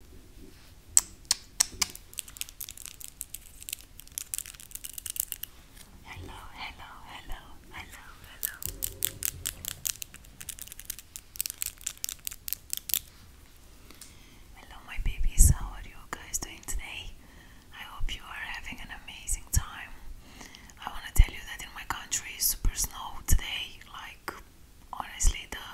Hello, hello, hello, hello, hello. Hello, my babies. How are you guys doing today? I hope you are having an amazing time. I want to tell you that in my country it's super snow today, like honestly the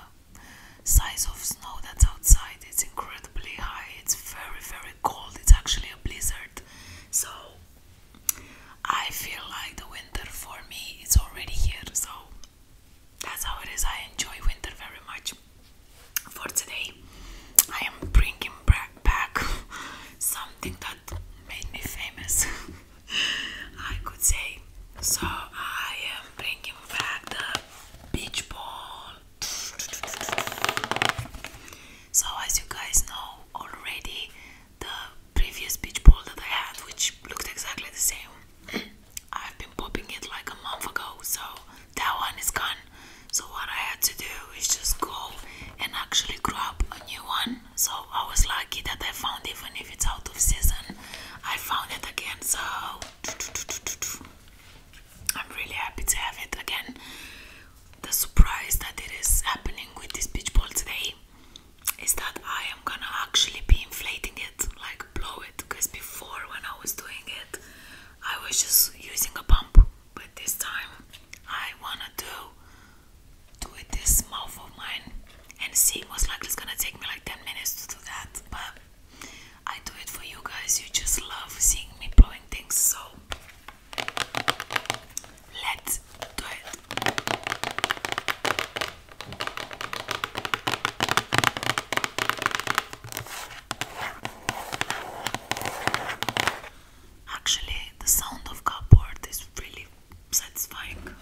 size of snow that's outside it's incredibly high it's very very cold it's actually a blizzard so i feel like the winter for me is already here so that's how it is i enjoy winter very much for today i am bringing back something that made me famous i could say so i am bringing back the beach ball. So, as you guys know already, the previous beach ball that I had, which looked exactly the same, I've been popping it like a month ago, so that one is gone. So, what I had to do is just go and actually grab a new one. So, I was lucky that I found, even if it's out of season, I found it again. So, I'm really happy to have it again. The surprise that it is happening with this beach ball today is that I am gonna actually be inflating it, like blow it, because before when I was doing it, I was just using a pump, but this time I wanna do do it this mouth of mine and see most likely it's gonna take me like 10 minutes to do that, but I do it for you guys. You just love seeing me blowing things, so let's do it. Actually, the sound of cardboard is really satisfying.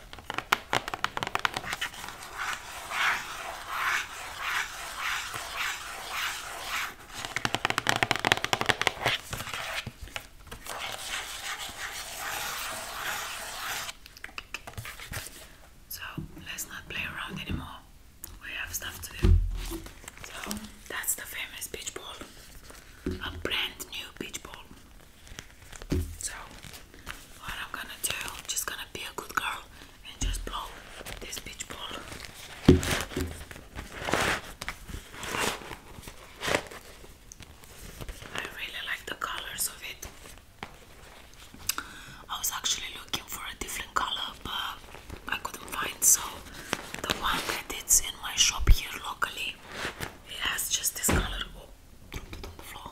So let's not play around anymore. We have stuff to do. So that's the famous beach ball. A brand new beach ball. So what I'm gonna do, just gonna be a good girl and just blow this beach ball. I really like the colors of it. I was actually looking for a different color, but I couldn't find. So the one that in my shop here locally, it has just this color. Oh, it on the floor.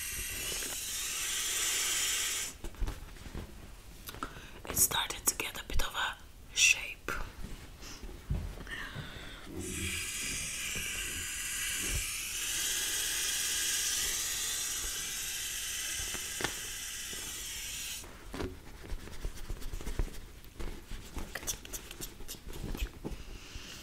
It started to get a bit of a shape.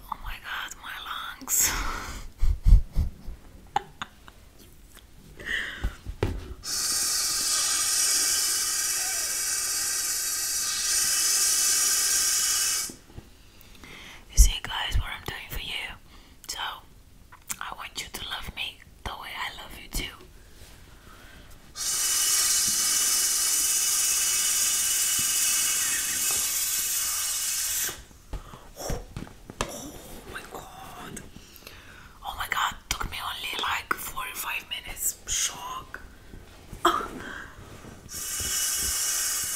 Oh my god, my lungs. You see, guys, what I'm doing for you so, I want you to love me the way I love you too. Oh, my god. Oh my god, took me only like 45 minutes. Shock.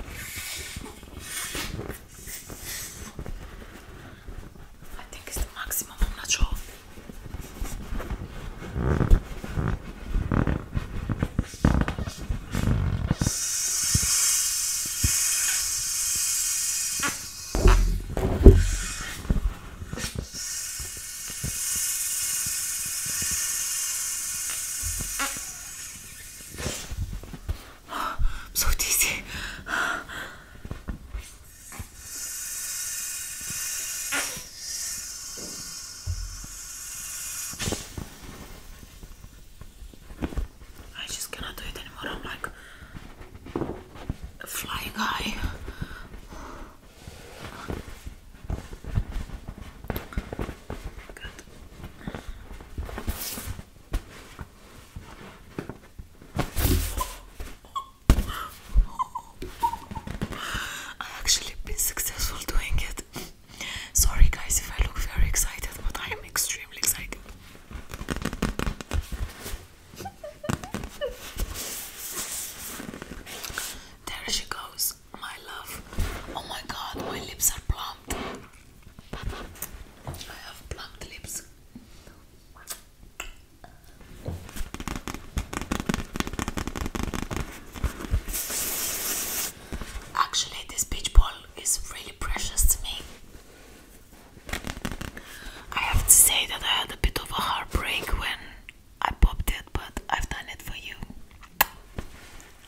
I think it's the maximum, I'm not sure. I'm so dizzy. I just cannot do it anymore. I'm like a flying high. I actually been successful doing it. Sorry guys if I look very excited, but I am extremely excited. there she goes my love. Oh my god, my lips are plumped. I have plumped lips. Actually, this beach ball is really precious to me. I have to say that I had a bit of a heartbreak when I popped it, but I've done it for you.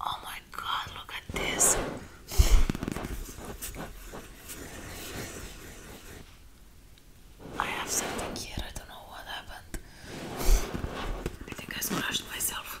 Oh my god, look at this. I have something here, I don't know what happened. I think I scratched myself.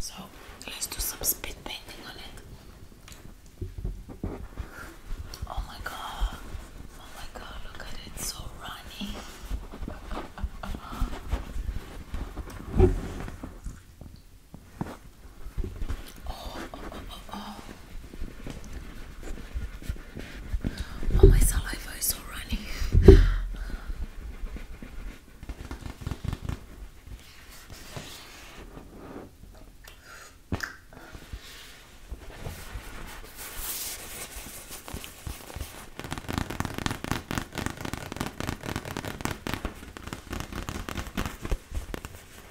So let's do some speed painting on it. Oh my god. Oh my god, look at it, so runny. Oh, oh, oh, oh, oh. Oh, my saliva is so runny.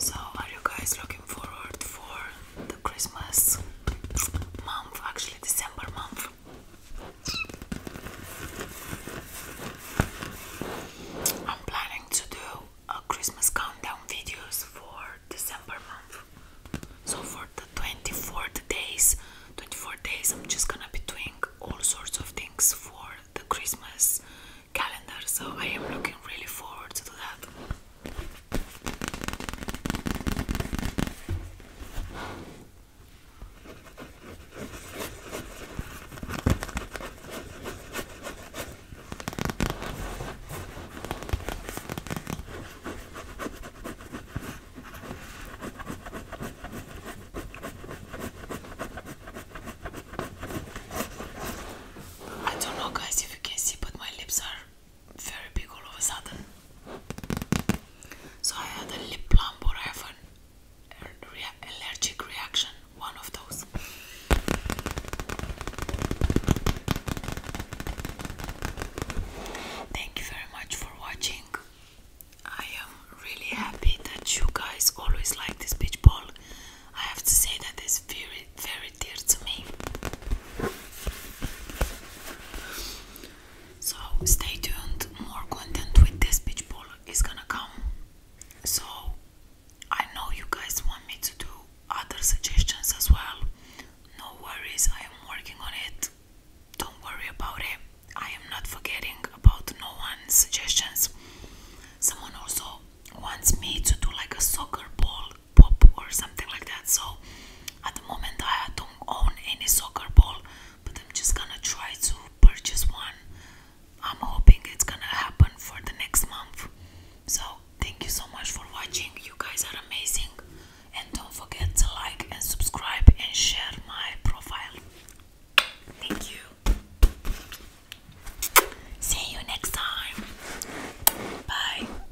So, are you guys looking forward for the Christmas month, actually December month. I'm planning to do a Christmas countdown videos for December month. So for the twenty fourth days, 24 days I'm just gonna be doing all sorts of things for the Christmas calendar. So I am looking really forward to that. I don't know, guys, if you can see, but my lips are very big all of a sudden. So I had a lip plump or I have an allergic reaction, one of those. Thank you very much for watching. I am really happy that you guys always like this beach ball. I have to say that it's very, very so stay tuned, more content with this beach ball is gonna come. So I know you guys want me to do other suggestions as well. No worries, I am working on it. Don't worry about it. I am not forgetting about no one's suggestions. Someone also wants me to do like a soccer ball pop or something like that. So at the moment I don't own any soccer ball, but I'm just gonna try to purchase one. I'm hoping it's gonna happen for the next month. So thank you so much for watching. You guys are amazing, and don't forget to like and subscribe and share my profile. Thank you. See you next time. Bye.